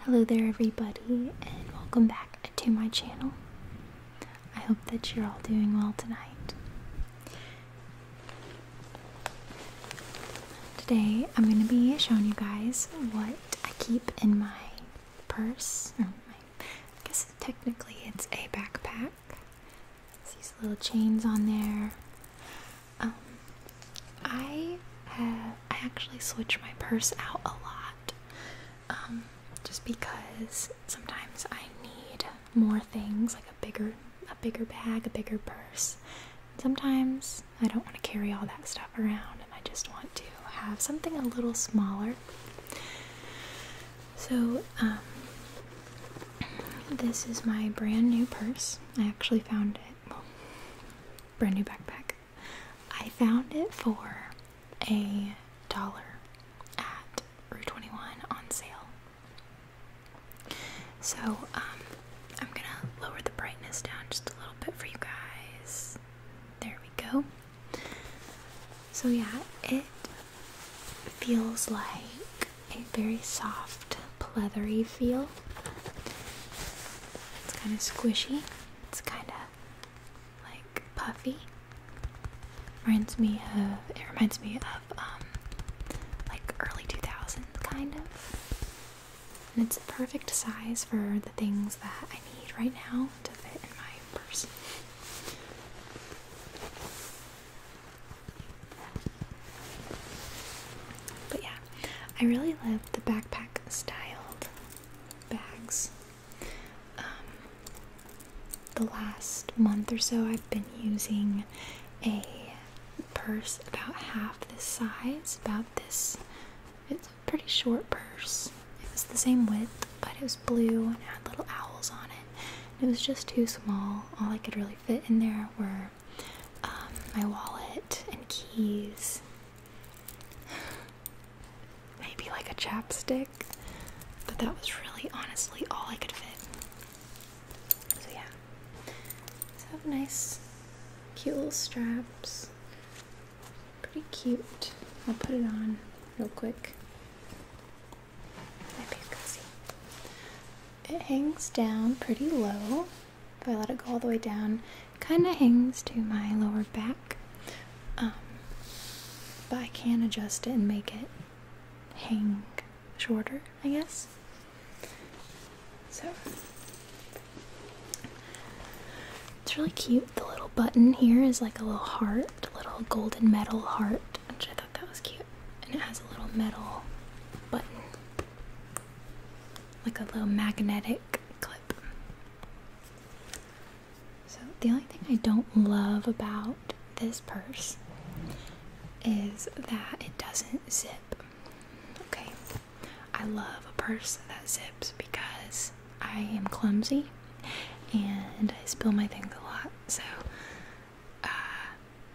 Hello there, everybody, and welcome back to my channel. I hope that you're all doing well tonight. Today, I'm going to be showing you guys what I keep in my purse. Or um, my, I guess technically it's a backpack. these little chains on there. Um, I have I actually switch my purse out a lot, um, just because sometimes I need more things, like a bigger a bigger bag, a bigger purse. Sometimes I don't want to carry all that stuff around, and I just want to have something a little smaller. So, um, this is my brand new purse. I actually found it well, brand new backpack. I found it for a dollar at Rue 21 on sale. So, um, I'm gonna lower the brightness down just a little bit for you guys. There we go. So, yeah, it feels like a very soft, pleathery feel. It's kind of squishy. It's kind of like puffy. Reminds me of. It reminds me of um, like early 2000s kind of. And it's the perfect size for the things that I need right now to fit in my purse. But yeah, I really love the backpack styled bags. Um, the last month or so, I've been using a purse about half this size, about this. It's a pretty short purse. It was the same width, but it was blue and had little owls on it. It was just too small. All I could really fit in there were um, my wallet and keys. Maybe like a chapstick, but that was really honestly all I could fit. So, yeah. So, nice, cute little straps. Pretty cute. I'll put it on real quick. It hangs down pretty low if I let it go all the way down, kind of hangs to my lower back. Um, but I can adjust it and make it hang shorter, I guess. So it's really cute. The little button here is like a little heart, a little golden metal heart, which I thought that was cute. And it has a little metal button like a little magnetic clip. So, the only thing I don't love about this purse is that it doesn't zip. Okay, I love a purse that zips because I am clumsy and I spill my things a lot. So, uh,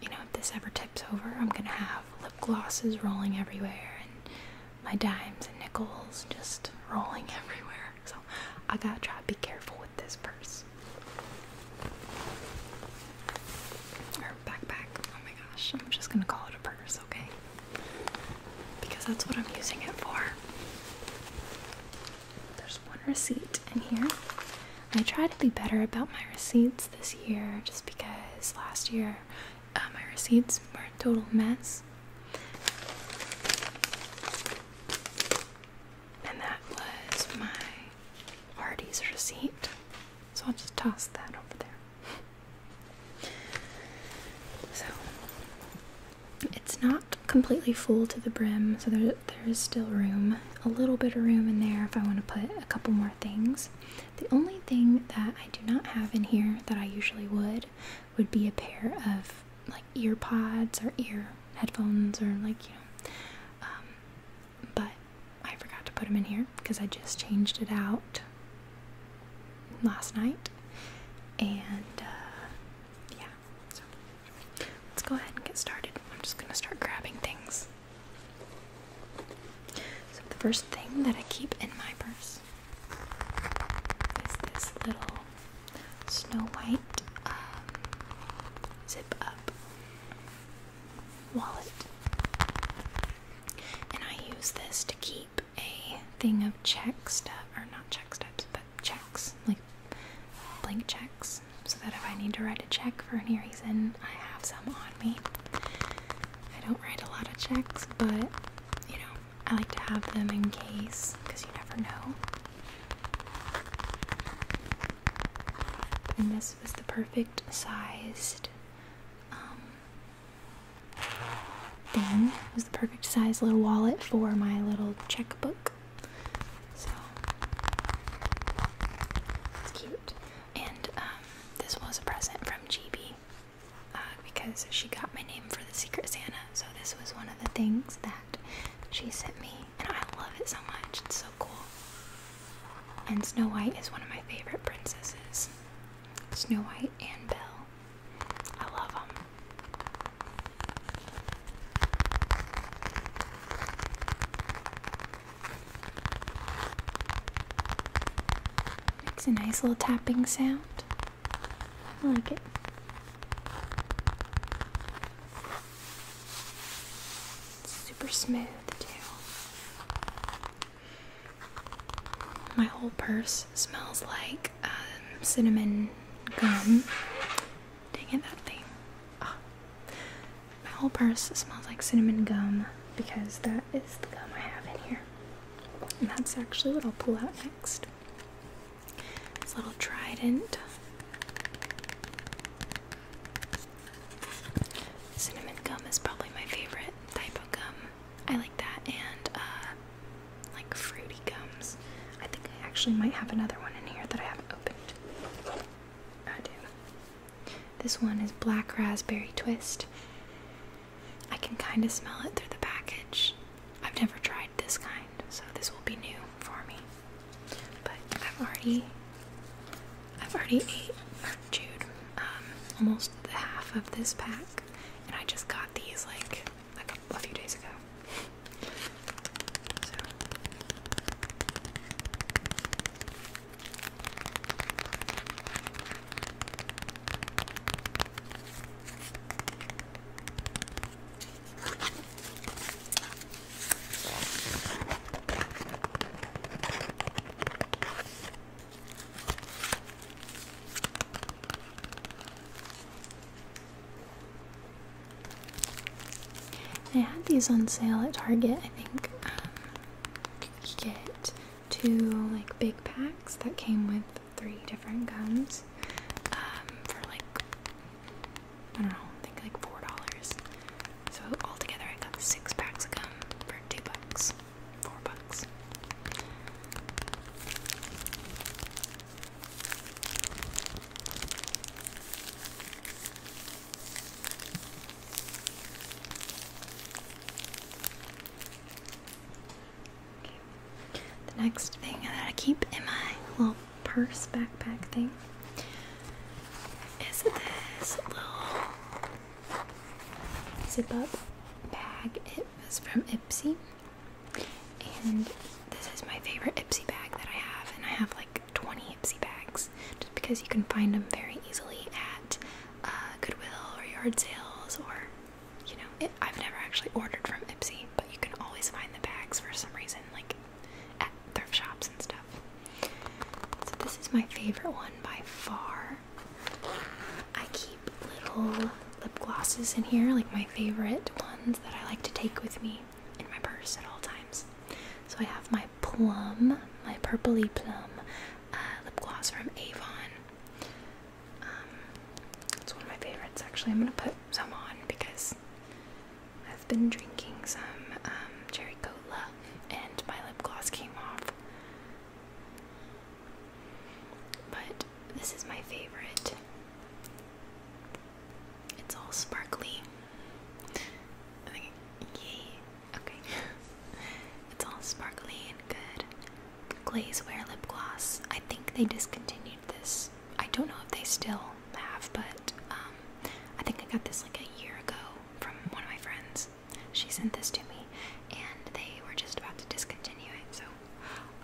you know, if this ever tips over, I'm gonna have lip glosses rolling everywhere and my dimes and nickels just rolling everywhere. So I gotta try to be careful with this purse. Or backpack. Oh my gosh, I'm just gonna call it a purse, okay? Because that's what I'm using it for. There's one receipt in here. I try to be better about my receipts this year just because last year uh, my receipts were a total mess. And that was my Hardee's receipt. So I'll just toss that over there. So it's not completely full to the brim, so there, there is still room. A little bit of room in there if I want to put a couple more things. The only thing that I do not have in here that I usually would would be a pair of like earpods or ear headphones or like you know um, but I forgot to put them in here because I just changed it out last night and uh, yeah so let's go ahead and get started I'm just gonna start grabbing things so the first thing that I keep in my purse is this little Snow White um, zip up wallet. And I use this to keep a thing of check stuff, or not check stubs, but checks, like blank checks, so that if I need to write a check for any reason, I have some on me. I don't write a lot of checks, but you know, I like to have them in case because you never know. And this was the perfect sized um, thing. It was the perfect sized little wallet for my little checkbook. So it's cute. And um, this was a present from GB uh, because she got my name for the Secret Santa. So this was one of the things that she sent me, and I love it so much. It's so cool. And Snow White is one of my favorite princesses. Snow White and Belle. I love them. Makes a nice little tapping sound. I like it. super smooth too. My whole purse smells like um, cinnamon gum. Dang it, that thing. Ah. My whole purse smells like cinnamon gum because that is the gum I have in here. And that's actually what I'll pull out next. This little trident. Cinnamon gum is probably my favorite type of gum. I like that and uh, like fruity gums. I think I actually might have another one in here that I haven't opened. I do. This one is black raspberry twist. I can kind of smell it through the package. I've never tried this kind, so this will be new for me. But I've already, I've already ate chewed um, almost the half of this pack, and I just got these like like a, few days ago. I had these on sale at Target, I think. Um, two like big packs that came with three different gums um, for like I don't know, I think like four dollars. So altogether, I got six packs of gum for two bucks, four bucks. The next thing that I keep in my little purse backpack thing is this little zip up bag. It was from Ipsy. And this is my favorite Ipsy bag that I have, and I have like 20 Ipsy bags just because you can find them very easily at uh, Goodwill or yard sales or you know I've never actually ordered from Ipsy, but you can always find the bags for some reason like at thrift shops and stuff. So this is my favorite one by far. I keep little lip glosses in here, like my favorite ones that I like to take with me in my purse at all times. So I have my plum, my purpley plum uh, lip gloss from Avon. Um, it's one of my favorites, actually. I'm gonna put some on because I've been drinking some um, cherry cola and my lip gloss came off. But this is my favorite. It's all sparkly. yay. Okay. it's all sparkly and good. wear lip gloss. I think they discontinued this. I don't know if they still have, but um, I think I got this like a year ago from one of my friends. She sent this to me, and they were just about to discontinue it. So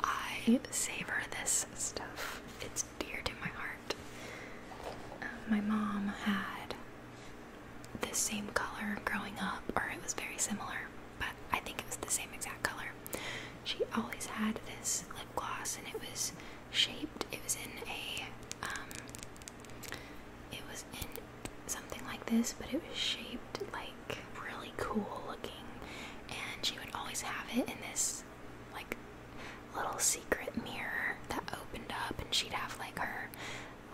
I savor this stuff. It's dear to my heart. Um, my mom had the same color growing up, or it was very similar, but I think it was the same exact color. She always had this lip gloss, and it was shaped. It was in a, um, it was in something like this, but it was shaped like really cool looking. And she would always have it in this like little secret mirror that opened up, and she'd have like her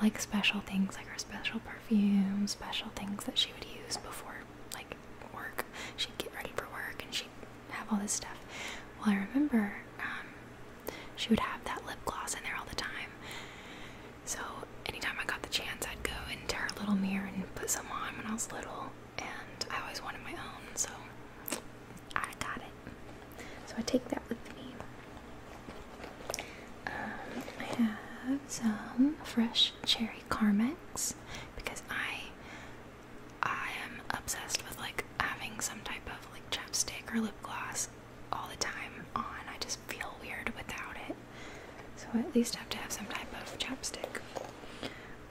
like special things like her special perfume, special things that she would use before like work. She'd get ready for work and she'd have all this stuff. Well, I remember um, she would have that lip gloss in there all the time. So anytime I got the chance, I'd go into her little mirror and put some on when I was little, and I always wanted my own, so I got it. So I take that with me. Um, I have some fresh cherry Carmex because I I am obsessed with like having some type of like chapstick or lip gloss all the time on. I just feel weird without it. So I at least have to have some type of chapstick.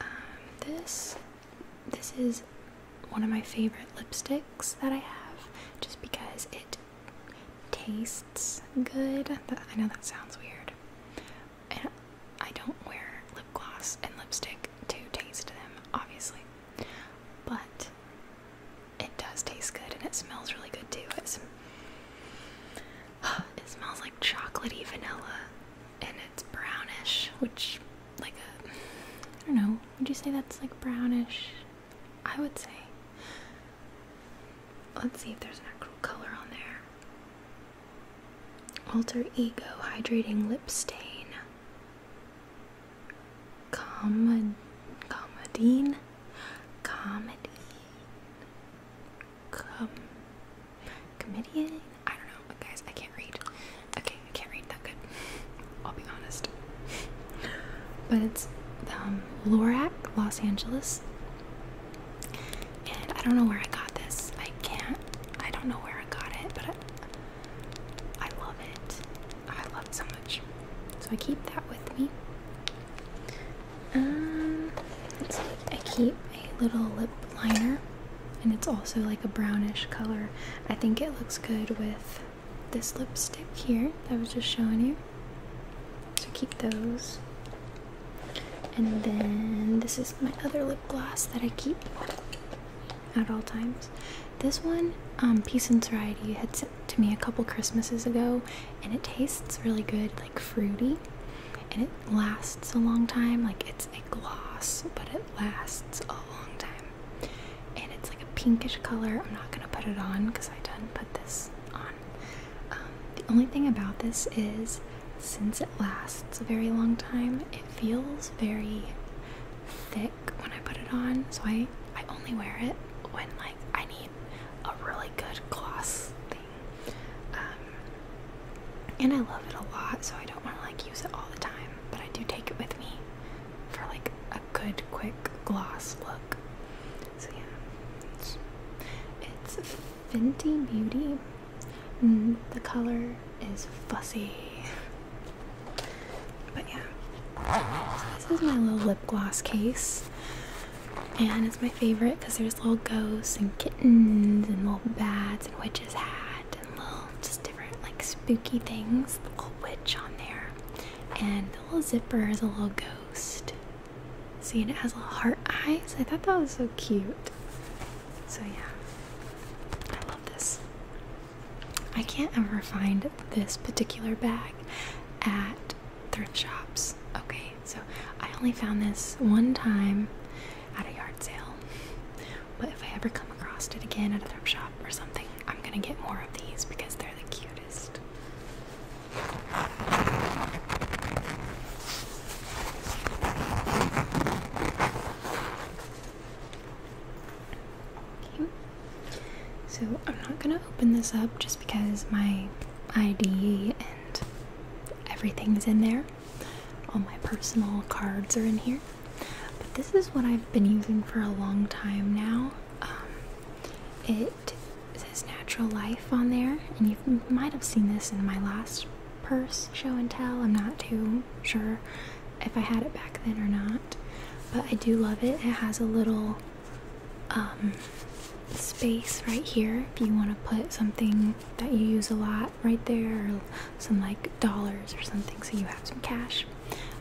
Um, this this is one of my favorite lipsticks that I have just because it tastes good. I know that sounds weird. I don't wear lip gloss and lipstick to taste them, obviously. But it does taste good and it smells really good too. it smells like chocolatey vanilla and it's brownish, which, like, a, I don't know, would you say that's like brownish? I would say. Let's see if there's an actual color on there. Alter Ego Hydrating Lip Stain. Comad Comadine? Comedy? Com comedian? I don't know, guys. I can't read. Okay, I can't read that good. I'll be honest. but it's um, Lorac, Los Angeles. And I don't know where I got this. I can't. I don't know where I got it, but I, love it. I love it so much. So I keep that with me. Um, I keep a little lip liner, and it's also like a brownish color. I think it looks good with this lipstick here that I was just showing you. So keep those. And then this is my other lip gloss that I keep at all times. This one, um, Peace and Variety had sent to me a couple Christmases ago, and it tastes really good, like fruity, and it lasts a long time. Like it's a gloss, but it lasts a long time and it's like a pinkish color. I'm not gonna put it on because I didn't put this on. Um, the only thing about this is since it lasts a very long time, it feels very thick when I put it on. So I I only wear it when like I need a really good gloss thing. Um, and I love it a lot, so I don't want to like use it all the time. But I do take it with me for like a good quick gloss look. So yeah, it's, it's Fenty Beauty. Mm, the color is fussy. But yeah, this is my little lip gloss case. And it's my favorite because there's little ghosts and kittens and little bats and witch's hat and little just different like spooky things. The little witch on there. And the little zipper is a little ghost. See, it has little heart eyes. I thought that was so cute. So yeah, I love this. I can't ever find this particular bag at thrift shops. Okay, so I only found this one time at a yard sale. But if I ever come across it again at a thrift shop or something, I'm gonna get more of these because they're the cutest. So I'm not gonna open this up just because my ID and everything's in there. All my personal cards are in here. But this is what I've been using for a long time now. Um, it it says natural life on there, and you might have seen this in my last purse show and tell. I'm not too sure if I had it back then or not, but I do love it. It has a little um, space right here if you want to put something that you use a lot right there, some like dollars or something, so you have some cash.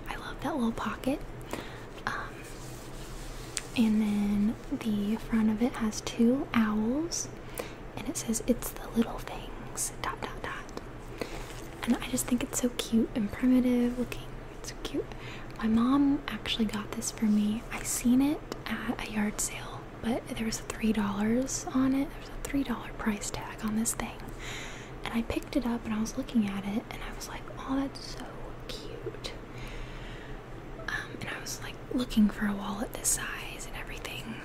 I love that little pocket. Um, and then the front of it has two owls, and it says, It's the little things, dot dot dot. And I just think it's so cute and primitive looking. It's so cute. My mom actually got this for me. I seen it at a yard sale, but there was $3 on it. There's a $3 price tag on this thing. And I picked it up and I was looking at it and I was like, oh, that's so cute. Um, and I was like looking for a wallet this size and everything,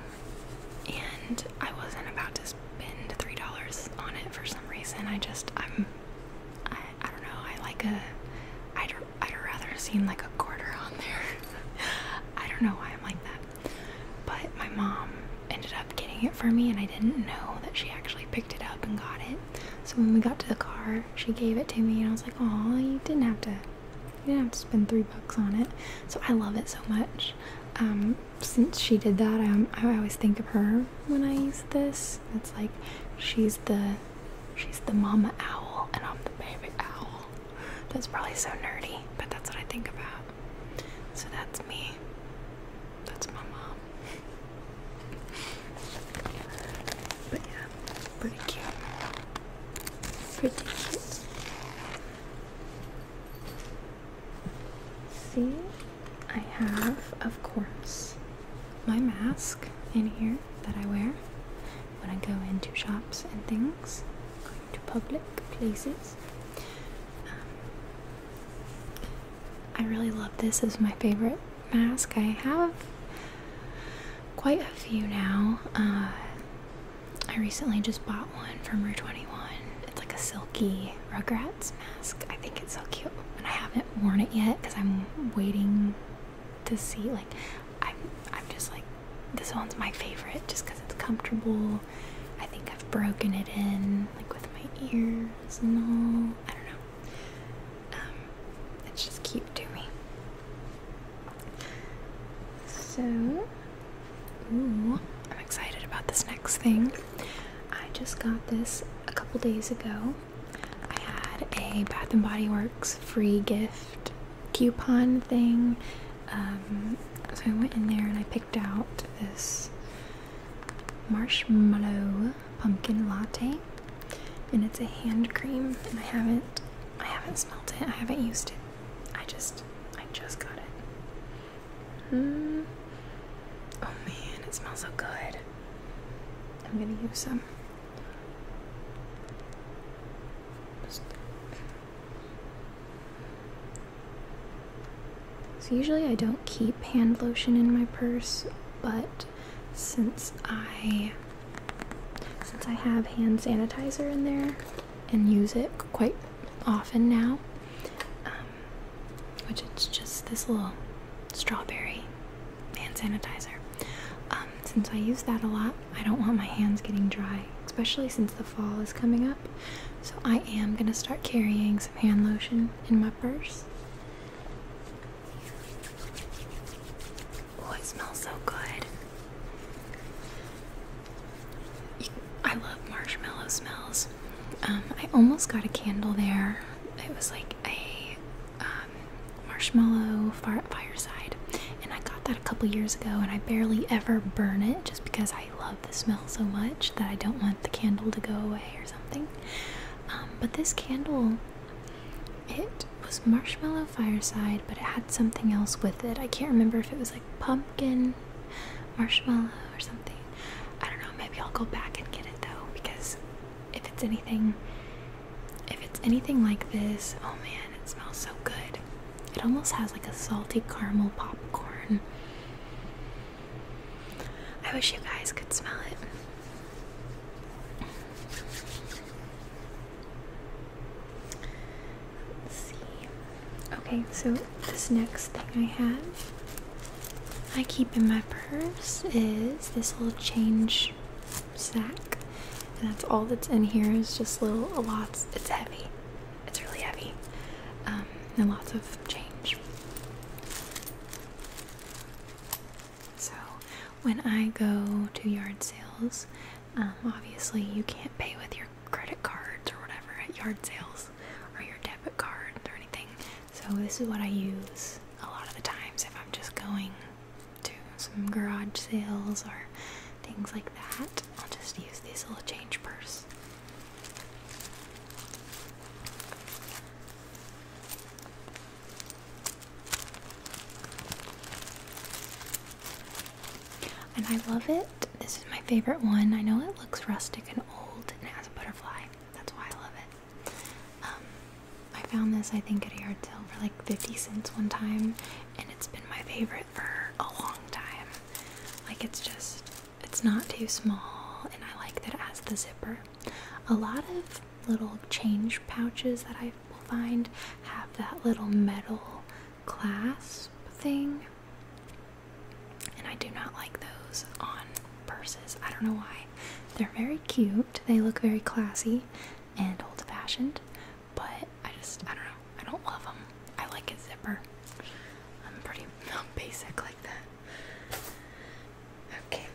and I wasn't about to spend three dollars on it for some reason. I just I'm I I don't know. I like a I'd I'd rather seen like a quarter on there. I don't know why I'm like that, but my mom ended up getting it for me, and I didn't know that she actually picked it up and got it. So when we got to the car, she gave it to me, and I was like, "Oh, you didn't have to, you didn't have to spend three bucks on it." So I love it so much. Um, since she did that, I always think of her when I use this. It's like she's the she's the mama owl, and I'm the baby owl. That's probably so nerdy, but that's what I think about. So that's me. That's my mom. But yeah, pretty cute. Pretty cute. See, I have, of course, my mask in here that I wear when I go into shops and things, going to public places. Um, I really love this is my favorite mask. I have quite a few now. Uh, I recently just bought one from Rue 21. It's like a silky Rugrats mask. I think it's so cute. And I haven't worn it yet because I'm waiting to see. Like, I'm, I'm just like, this one's my favorite just because it's comfortable. I think I've broken it in, like with my ears and all. I don't know. Um, it's just cute to me. So, ooh, I'm excited about this next thing. I just got this a couple days ago. I had a Bath and Body Works free gift coupon thing. Um, so I went in there and I picked out this marshmallow pumpkin latte and it's a hand cream and I haven't I haven't smelled it I haven't used it I just I just got it hmm oh man it smells so good I'm gonna use some so usually I don't keep hand lotion in my purse but since I since I have hand sanitizer in there and use it quite often now, um, which it's just this little strawberry hand sanitizer. Um, since I use that a lot, I don't want my hands getting dry, especially since the fall is coming up. So I am gonna start carrying some hand lotion in my purse. Oh, it smells so good. I love marshmallow smells. Um, I almost got a candle there. It was like a um, marshmallow fire, fireside, and I got that a couple years ago. And I barely ever burn it, just because I love the smell so much that I don't want the candle to go away or something. Um, but this candle it was marshmallow fireside, but it had something else with it. I can't remember if it was like pumpkin marshmallow or something. I don't know. Maybe I'll go back and get it though, because if it's anything, if it's anything like this, oh man, it smells so good. It almost has like a salty caramel popcorn. I wish you guys could smell it. Let's see. Okay, so this next thing I have, I keep in my purse, is this little change sack. And that's all that's in here is just little lots. It's heavy. It's really heavy. Um, and lots of change. So when I go to yard sales, um, obviously you can't pay with your credit cards or whatever at yard sales or your debit card or anything. So this is what I use a lot of the times if I'm just going to some garage sales or things like that. I'll just use this little change purse. And I love it. This is my favorite one. I know it looks rustic and old and has a butterfly. That's why I love it. Um, I found this, I think, at a yard sale for like 50 cents one time, and it's been my favorite for a long time. Like, it's just, it's not too small, and I like that it has the zipper. A lot of little change pouches that I will find have that little metal clasp thing, and I do not like those on purses. I don't know why. They're very cute, they look very classy and old fashioned, but I just, I don't know, I don't love them. I like a zipper. I'm pretty basic like that. Okay.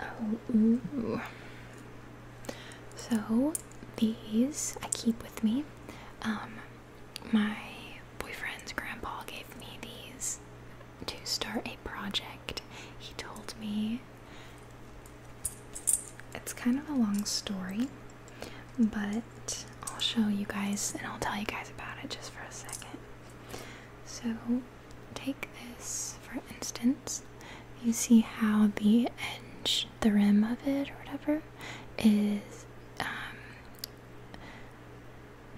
Oh, So these I keep with me. Um, my boyfriend's grandpa gave me these to start a project. He told me it's kind of a long story, but I'll show you guys and I'll tell you guys about it just for a second. So, take this for instance, you see how the edge, the rim of it or whatever, is um,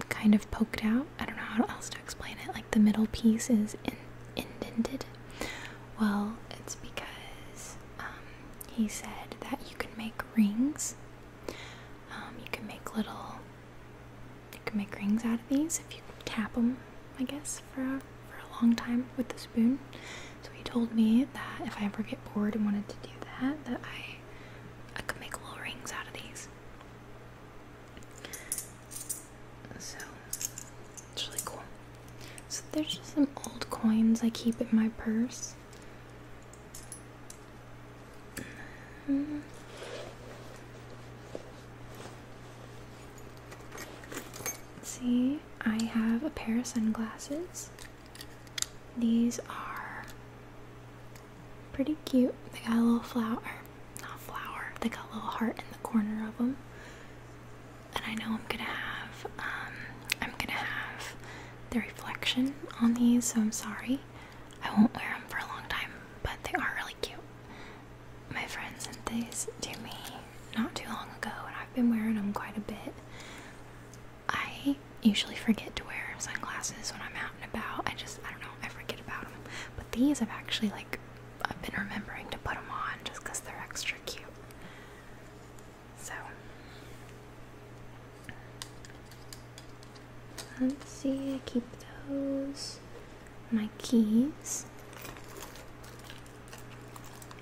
kind of poked out. I don't know how else to explain it. Like the middle piece is indented. Well, it's because um, he said that you can make rings. Um, you can make little you can make rings out of these if you tap them, I guess, for a, for a long time with the spoon. So he told me that if I ever get bored and wanted to do that, that I I could make little rings out of these. So it's really cool. So there's just some old coins I keep in my purse. See, I have a pair of sunglasses. These are pretty cute. They got a little flower, not flower, they got a little heart in the corner of them. And I know I'm gonna have, um, I'm gonna have the reflection on these, so I'm sorry. I won't wear them for a long time, but they are really cute. My friend sent these to me not too long ago, and I've been wearing them quite a bit. I usually forget to wear sunglasses when I'm out and about. I just, I don't know, I forget about them. But these I've actually, like, I've been remembering to put them on just because they're extra cute. So, Let's see. I keep those. My keys.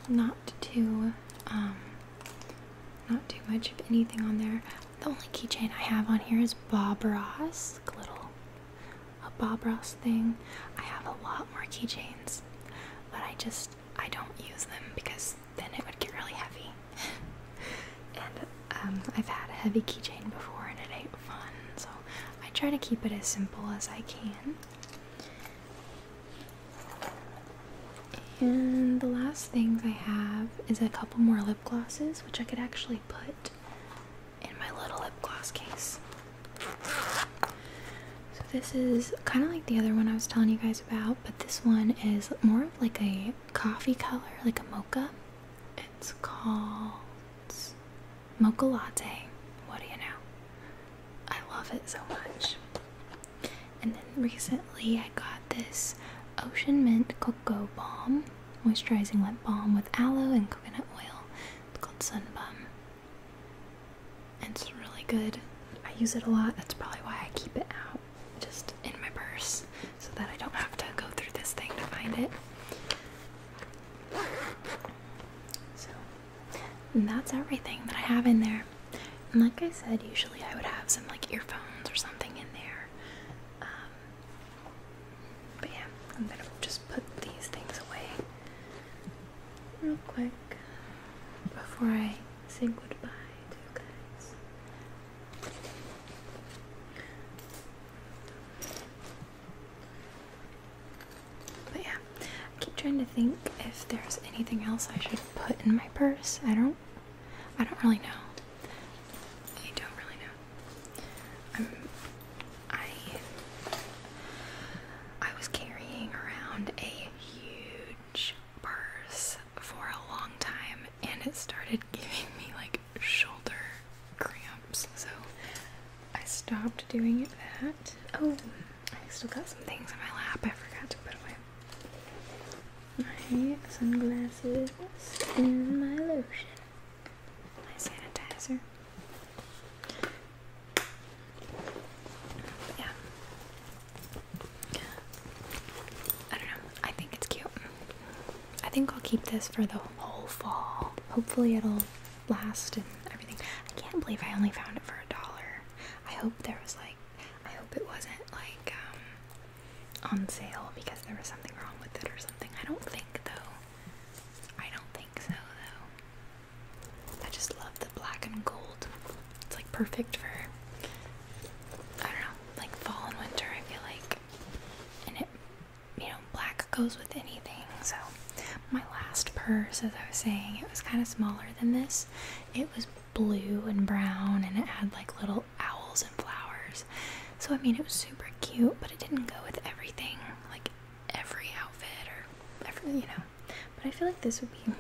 Not too, um, not too much of anything on there. The only keychain I have on here is Bob Ross, little, a Bob Ross thing. I have a lot more keychains, but I just I don't use them because then it would get really heavy, Um, I've had a heavy keychain before and it ain't fun, so I try to keep it as simple as I can. And the last things I have is a couple more lip glosses, which I could actually put in my little lip gloss case. So this is kind of like the other one I was telling you guys about, but this one is more of like a coffee color, like a mocha. It's called mocha latte. What do you know? I love it so much. And then recently I got this Ocean Mint Cocoa Balm moisturizing lip balm with aloe and coconut oil. It's called Sun And it's really good. I use it a lot. That's probably why I keep it out just in my purse so that I don't have to go through this thing to find it. So that's everything that I have in there. And like I said, usually I would have some like earphones or something in there. Um, but yeah, I'm gonna just put these things away real quick before I say goodbye to you guys. But yeah, I keep trying to think if there's anything else I should put in my purse. I don't I don't really know. I don't really know. Um, I I was carrying around a huge purse for a long time and it started giving me like shoulder cramps, so I stopped doing that. Oh, I still got some things on my lap I forgot to put away. My sunglasses and my lotion. My sanitizer. Yeah. I don't know. I think it's cute. I think I'll keep this for the whole fall. Hopefully it'll last and everything. I can't believe I only found it for a dollar. I hope there was like, I hope it wasn't like um, on sale because there was something wrong with it or something. I don't think though. I don't think so though. I just love the black and gold. It's like perfect for, I don't know, like fall and winter I feel like. And it you know, black goes with anything. So, my last purse, as I was saying, it was kind of smaller than this. It was blue and brown, and it had like little owls and flowers. So, I mean, it was super cute, but it didn't go with everything, like every outfit or every, you know. But I feel like this would be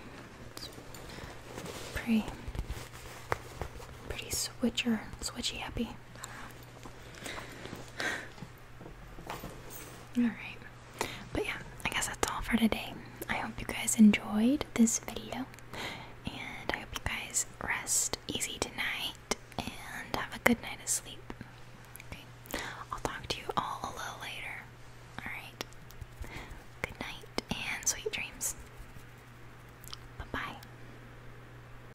pretty, pretty switcher, switchy happy. Alright. But yeah, I guess that's all for today. I hope you guys enjoyed this video. And I hope you guys rest easy tonight and have a good night of sleep. Okay. I'll talk to you all a little later. Alright. Good night and sweet dreams. Bye bye.